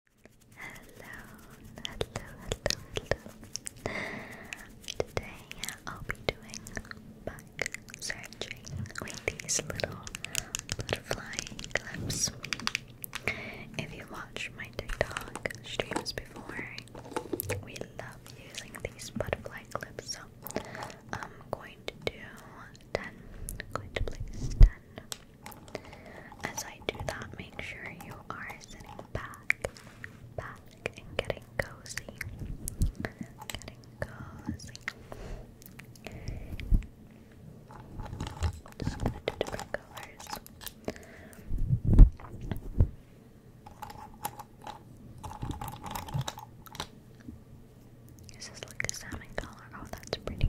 Hello, hello, hello, hello. Today I'll be doing back searching with these little butterfly clips. If you watch my TikTok streams before, we love using these butterfly clips. So I'm going to do 10, going to place 10 as I do that, make sure you are sitting back, back, and getting cozy. Getting cozy. Just going different colors. This like a salmon color. Oh, that's pretty.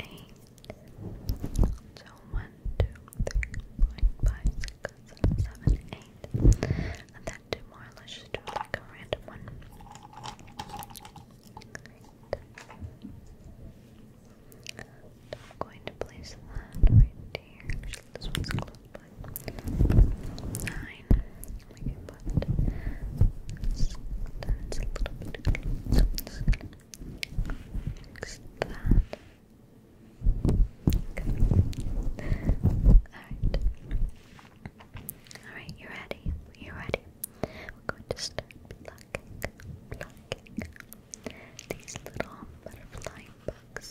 eight. So one, two, three, four, five, six, seven, eight. And then two more. Let's do like a random one. I'm going to place that right here. Actually, this one's closed put nine. We can put that's a little bit close. Fix that. Alright. Alright, you ready? You ready? We're going to start plucking, plucking these little butterfly bugs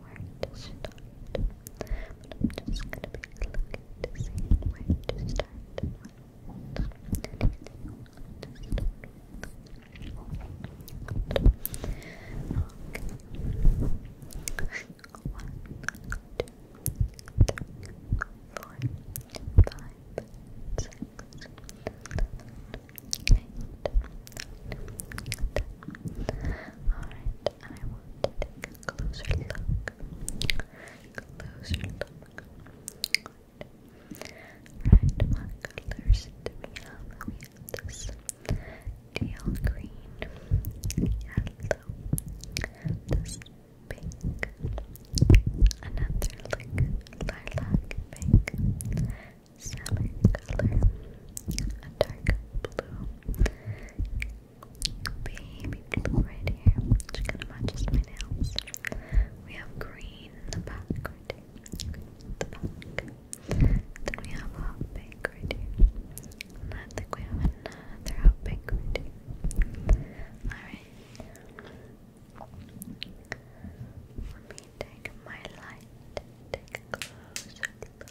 where to start. But I'm just gonna be looking to see where to start you One, two, three, four, five, six, seven, eight, nine, ten. Alright, I want a closer look. Closer look. Right, what colors do this teal green, yellow, this pink, another like lilac pink, salmon color, a dark blue, baby blue right here, which kind of matches my nails. We have green in the back Then we have hot pink right here. I think we have another hot pink right here. Alright. Let me take my light, take a closer look.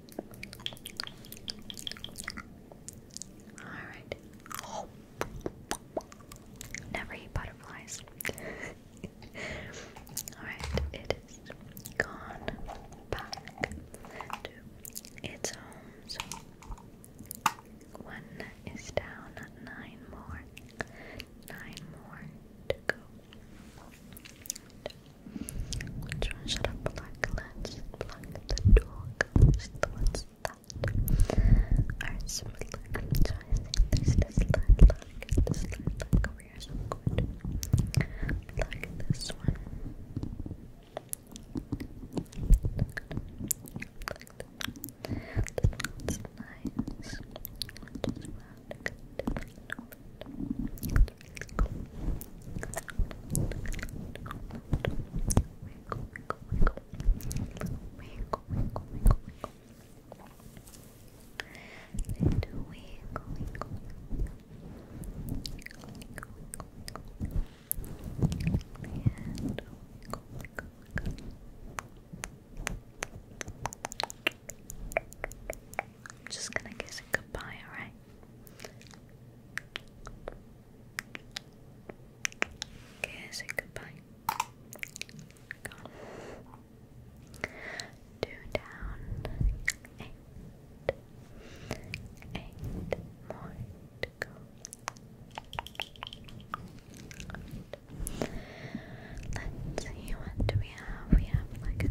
Alright. Never eat butterflies. Alright, it is gone back to its home. one is down, nine more. Nine more to go one should I pluck? Let's the dog. Which one's that? Alright, so there's this line, look. This line, look over here, so I'm going to pluck this one. nice. Wiggle, I'm just gonna kiss it goodbye, alright? Kiss goodbye. Two down. Eight. Eight more to go. Let's see what do we have. We have like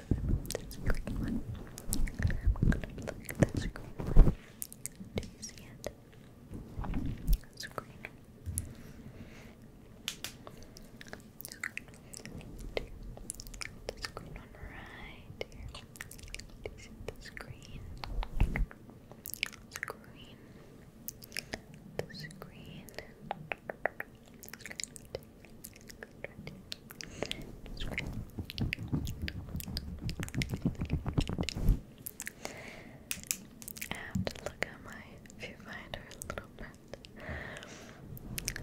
this green one. I'm gonna look at this green one. Do you see it? It's green. This green one right here. Do you see this green? This green. This green. I look at my viewfinder a little bit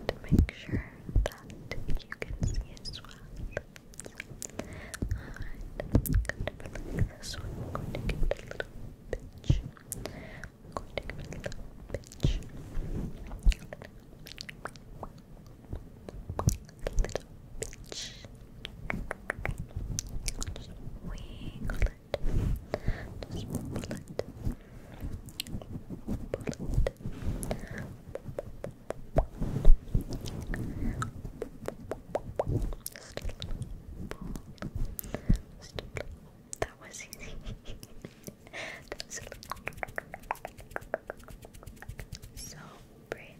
to make sure that you can see as well. I'm going to like this one. I'm a little pinch. I'm going to give it a little pinch. A little pinch. Just wiggle it. Just pull it. Pull it. Just a little pull. Just a little that was easy. so bright.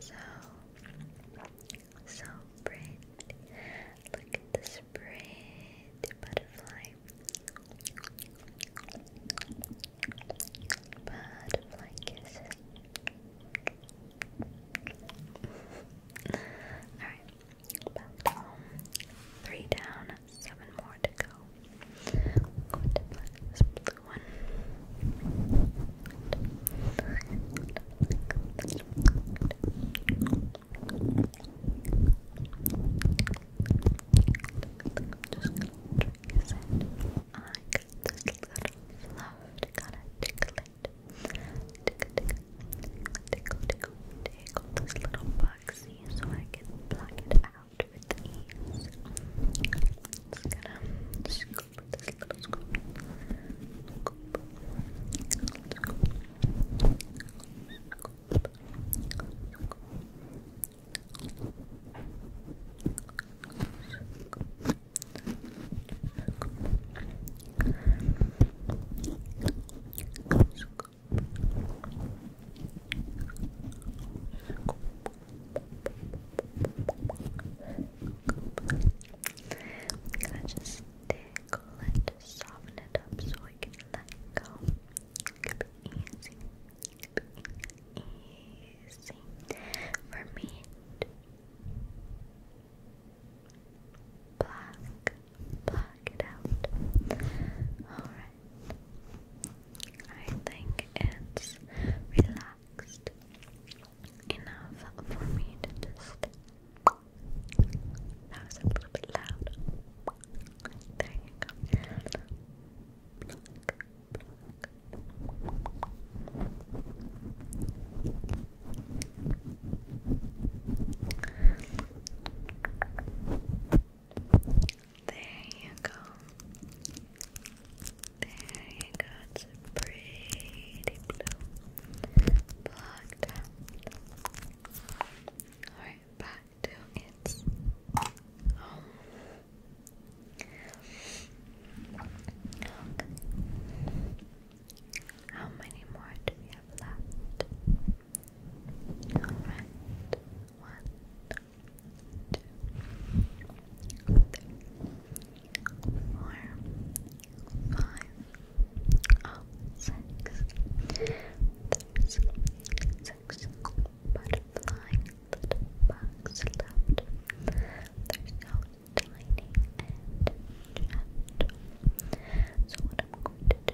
So, so bright. Look at this bright butterfly. Butterfly kisses. Alright, um, three down, seven more to go. go to black, blue one. Just gonna drink this I got this little fluffed, gotta tickle it. Tickle, tickle, tickle, tickle, tickle this little bug galaxy so I can pluck it out with ease. Just gonna scoop this little Scoop. We gotta just tickle it, soften it up so we can let go. Keep it easy, keep it easy for me. Black, pluck it out. Alright. I think it's relaxed enough for me to just. That was a little bit loud. There you go. There you go. There you go. It's pretty blue. Alright, back to its How many more do we have left? Alright. One, two, three, four, five, oh, six. bugs left. They're so tiny and gentle. So what I'm going to do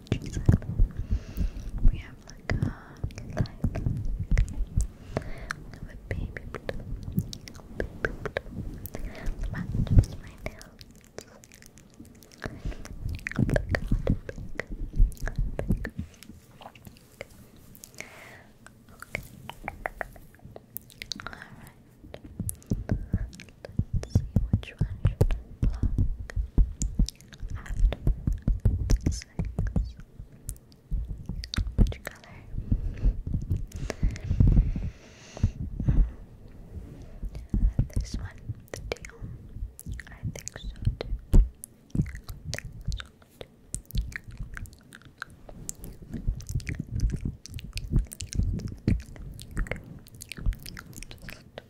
what she We have like a light, a baby blue, baby blue, my nails. Okay. Alright. Let's see which one should block Which color? this one, the teal. I think so too. I think so too.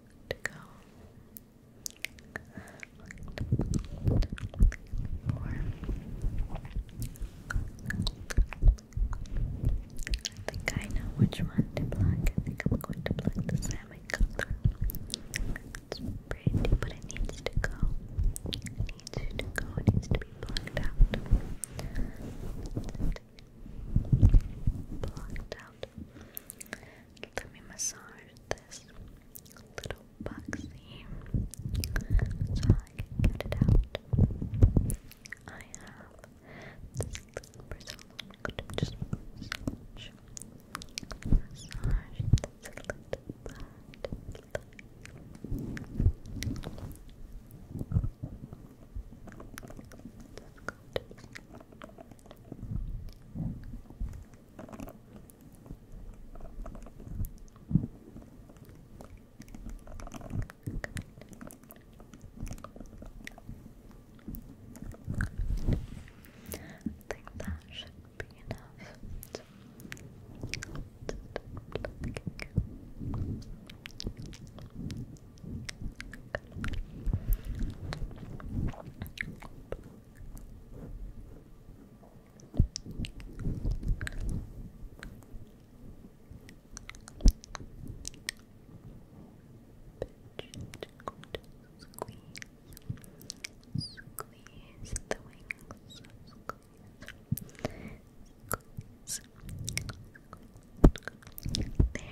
I think I know which one to plug. I think I'm going to plug the salmon color. It's pretty, but it needs to go. It needs to go. It needs to be plugged out. Plugged out. Let me massage this little boxy so I can get it out. I have this little bristle. Just massage. this little butterfly. I think that should be enough. Squeeze the wings. Squeeze. Squeeze. Squeeze. There you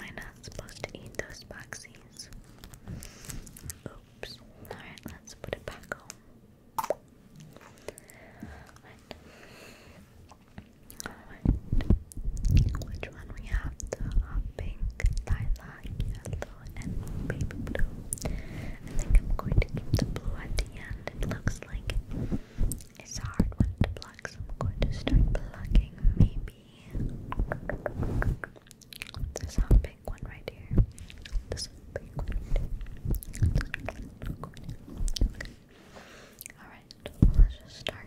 I'm not supposed to eat those boxies. Oops. Alright, let's put it back home. Which one we have? hot uh, pink, lilac, yellow, and baby blue. I think I'm going to keep the blue at the end. It looks like it's a hard one to block, so I'm going to start blocking. maybe this hot pink one one right here. This one. Okay. Alright, let's just start.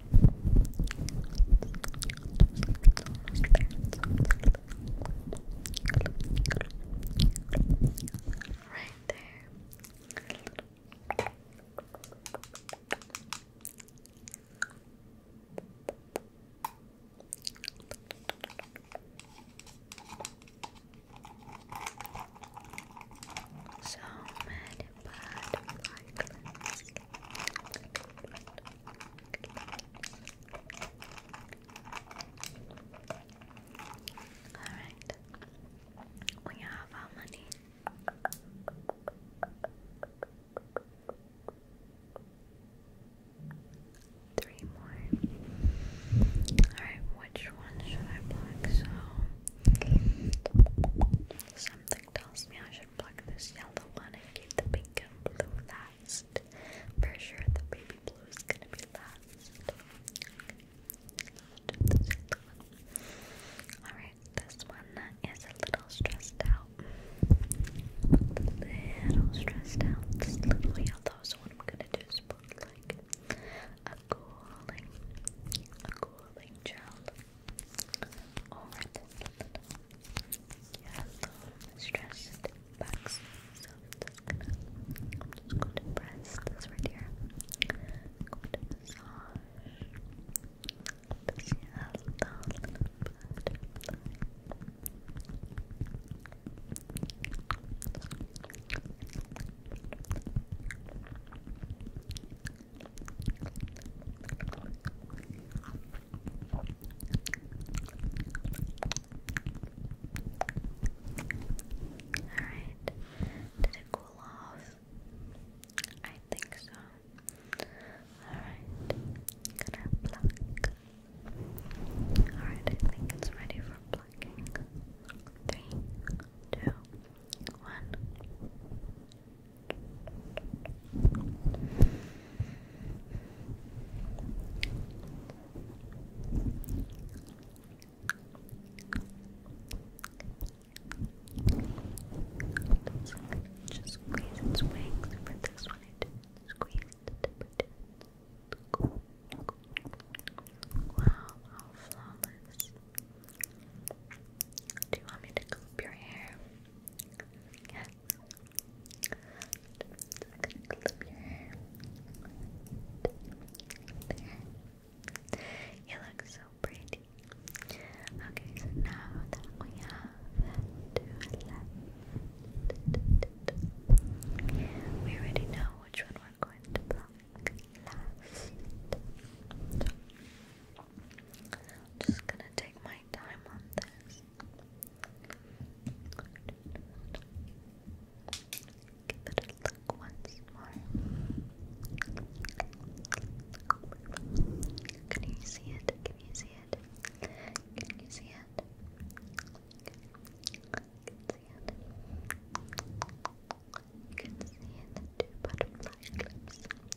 Right there. So many butterfly Alright, we have our money. Three more. Alright, which one should I plug? So, tells me I should pluck this yellow one and keep the pink and blue last. For sure, the baby blue is gonna be last. Alright, this one is a little stressed out. little stressed out. This little yellow, so what I'm gonna do is like a cooling, a cooling gel over yellow stressed box. So gonna, i to press this right here. i to massage this yellow butterfly. Good. Alright, did it cool off? I think so. Alright, gonna pluck. Alright, I think it's ready for plucking. Three, two, one. Just squeeze its wings this one. It squeeze Wow, how flawless. Do you want me to comb your hair? Yes. You look so pretty. Okay, so now that we have two left, we already know which one we're going to block last. I'm just gonna take my time on this. Give it a look once more. Can you see it? Can you see it? Can you see it? You see it. You see The butterfly clips.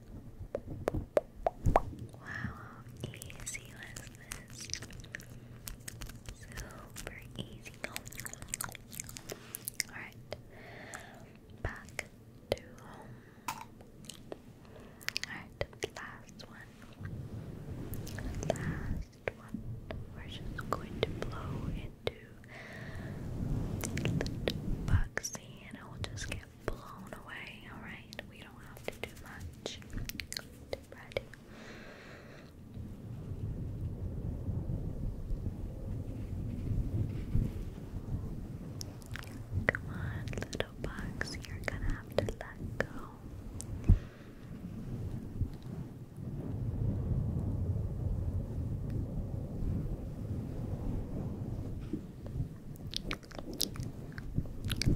Wow, how easy was this? Super easy. Alright, back to home. Alright, last one. Last one. We're just going to blow into the bugsy and it will just get blown away, alright? We don't have to do much. ready. Come on, little box, you're gonna have to let go.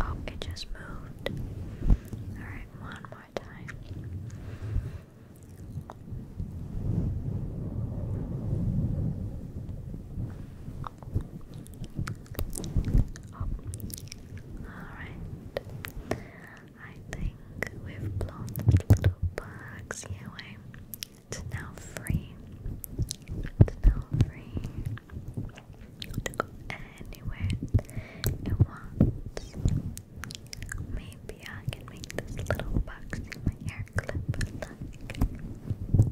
Oh, it just moved. Alright, one more time. Alright. I think we've blown the little bugs away. It's now free. It's now free anywhere it wants. Maybe I can make this little box in my hair clip like this.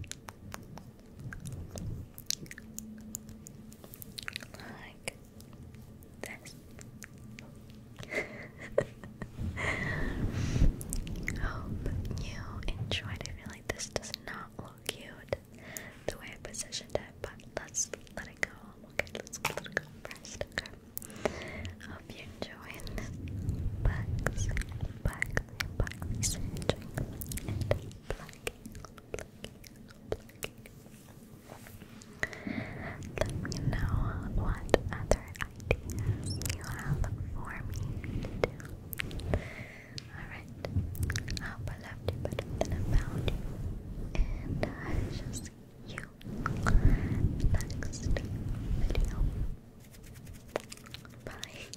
Hope you enjoyed. I feel like this does not look cute the way I positioned it, but let's let it go. Okay, let's let it go Hope you enjoyed. Bugs, bugs, bugs, and plucking, Let me know what other ideas you have for me Alright, I hope I loved you better than I found and I shall see you next video. Bye.